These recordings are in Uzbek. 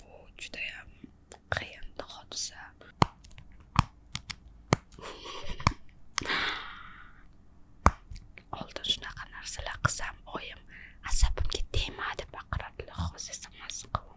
bu judayam qiyin hodisa oldin shunaqa narsalar qilsam oyim asabimga tegma deb baqiradilar hozir esa mazza qilaman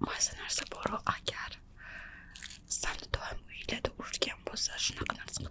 maza narsa boru agar sani doim o'yladi urgan bo'lsa shunaqa narsa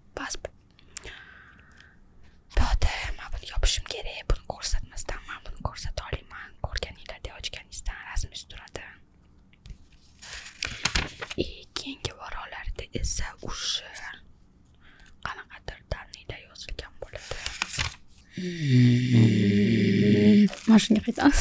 pasport bu yoqda man buni yopishim kerak buni ko'rsatmasdan man buni ko'rsata olmayman ko'rganinglarda ochganingizdan rasmingiz turadi и keyingi varolarda esa o'sha qanaqadir daniyda yozilgan bo'ladi mana shunga qaytamiz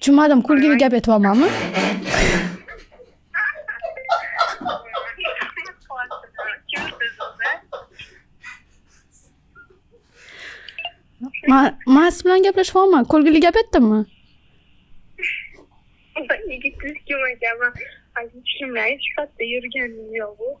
tushunmadim kulgili gap aytyapmanmi man siz bilan gaplashyapman kulgili gap aytdimmi yigit kim ekanman tushunmay sifatda yurganim yo'q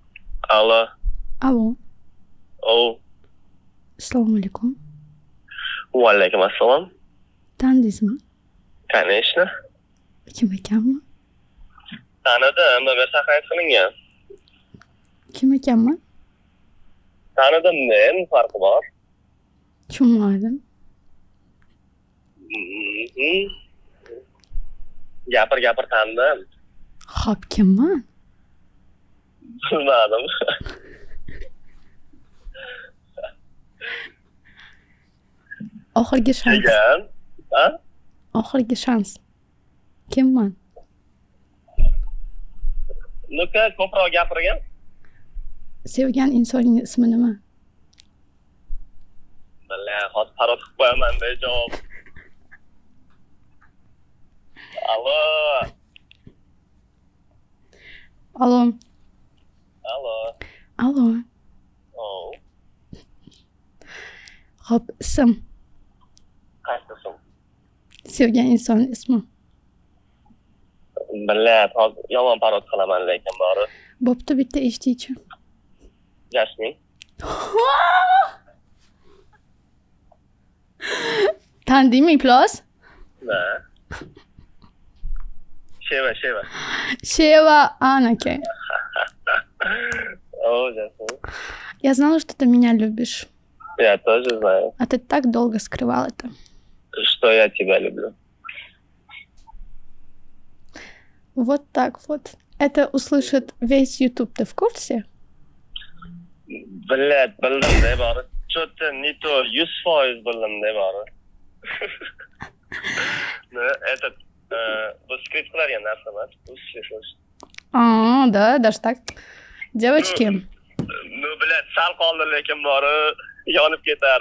Алло. Алло. Оу. Ассалому алейкум. Va alaykum assalom. Tanidingizmi? Tanishni. Kim ekanmi? Tanidim, nomer saqlab qilingan. Kim ekanman? Tanidim men, farqi bor. Tushunmadim. gapir mm-hmm. gapir tandim ho'p kimman bilmadim oxirgi shans degan oxirgi shans kimman nuka ko'proq gapirgin sevgan insonning ismi nima Balla, hozir parod qilib qo'yaman de javob. Allo. Allo. Allo. Allo. Oh. Xo'p, ism. Qaysi ism? Sevgan inson ismi. Balla, hozir yomon parod qilaman lekin bori. Bo'pti, bitta eshituvchi. Jasmin. рублей. Тандеми плюс? Да. Шева, Шева. Шева Анаке. Я знала, что ты меня любишь. Я тоже знаю. А ты так долго скрывал это. Что я тебя люблю. Вот так вот. Это услышит весь YouTube. Ты в курсе? Блядь, bildim bari. Что-то не то, 100% bildim не бары. Ну, skript qilar ekan narsa emas, bu А, да, даже так. Девочки. Ну, блядь, sal qoldi lekin bori yonib ketar.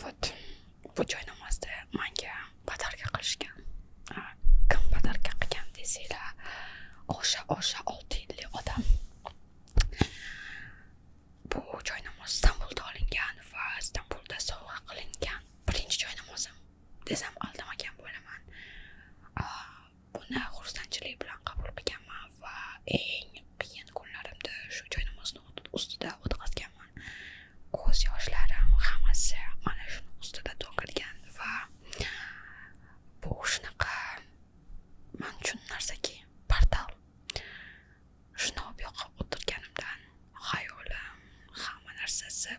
вот bu joy namozda manga podarka qilishgan kim podarka qilgan desanglar o'sha o'sha olti yilli odam bu joy namoz istanbulda olingan va istanbulda sovg'a qilingan birinchi joy namozim desam aldamagan bo'laman uni xursandchilik bilan qabul qilganman va eng qiyin kunlarimda shu joynamozni ustida o'tkazganman ko'z yoshlarim hammasi mana shuni ustida to'kilgan va bu shunaqa man uchun narsaki portal shuni olib yoqib o'tirganimdan xayolim hamma narsasi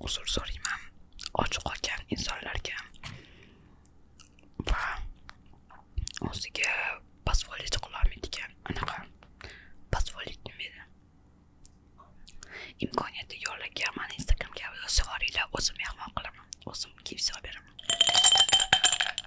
uzr so'rayman och qolgan insonlarga va o'ziga позволить qilolmaydigan anaqa позволить nima edi imkoniyati yo'qligi mani instagramga yozib yuboringlar o'zim mehmon qilaman o'zim kiyib beraman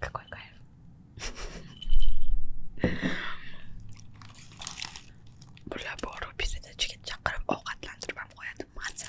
그걸까요? 몰라 뭐로 비슷해 주겠죠? 그럼 어가 단둘만 먹어야 돼 맞아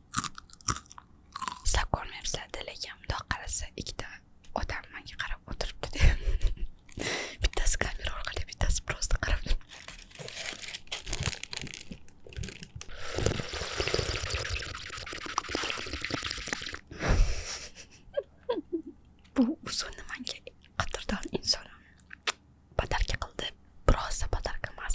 uxlab qolmayapsizlar lekin mundoq qarasa ikkita odam manga qarab o'tiribdi bittasi kamera orqali bittasi просто qarab bu usulni manga qadrdon insonim batarka qildi birozda batarka emas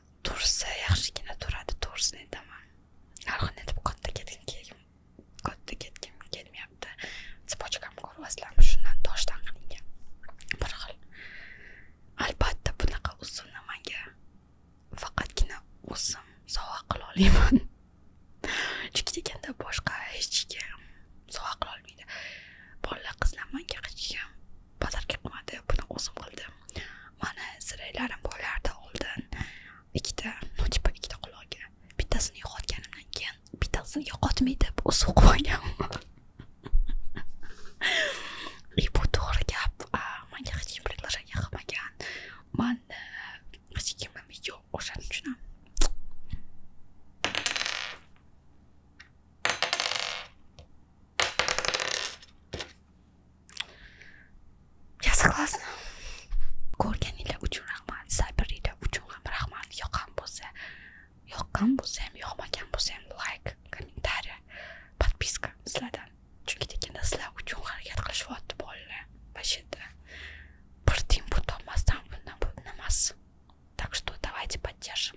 tursa yaxshigina turadi to'g'risini aytaman narxini aytib katta ketgim katta ketgim kelmayapti цепочкам ko'ryapsizlarmi shundan toshdan qilingan bir xil albatta bunaqa usulni manga faqatgina o'zim sovg'a qila olaman chunki deganda boshqa hech kim sovg'a qila olmaydi bolalar qizlar manga hech kim podarka qilmadi buni o'zim qildim mani siraylarim bo'lardi oldin ikkita ну типа ikkita quloqga bittasini yo'qotganimdan keyin bittasini yo'qotmay deb o'sib qo'yganman и bu to'g'ri gap manga hech kim предложение qilmagan mani e, hech kimim yo'q o'shaning uchun ham Я согласна. Ko'rgan ila uchun rahmat, sabrila uchun ham rahmat. Yoqqan bo'lsa, yoqqan bo'lsa ham, yoqmagan bo'lsa ham like, kommentariy, podpiska sizlardan. Chunki tekinda sizlar uchun harakat qilishyapti bolalar. Вообще-то Так что давайте поддержим.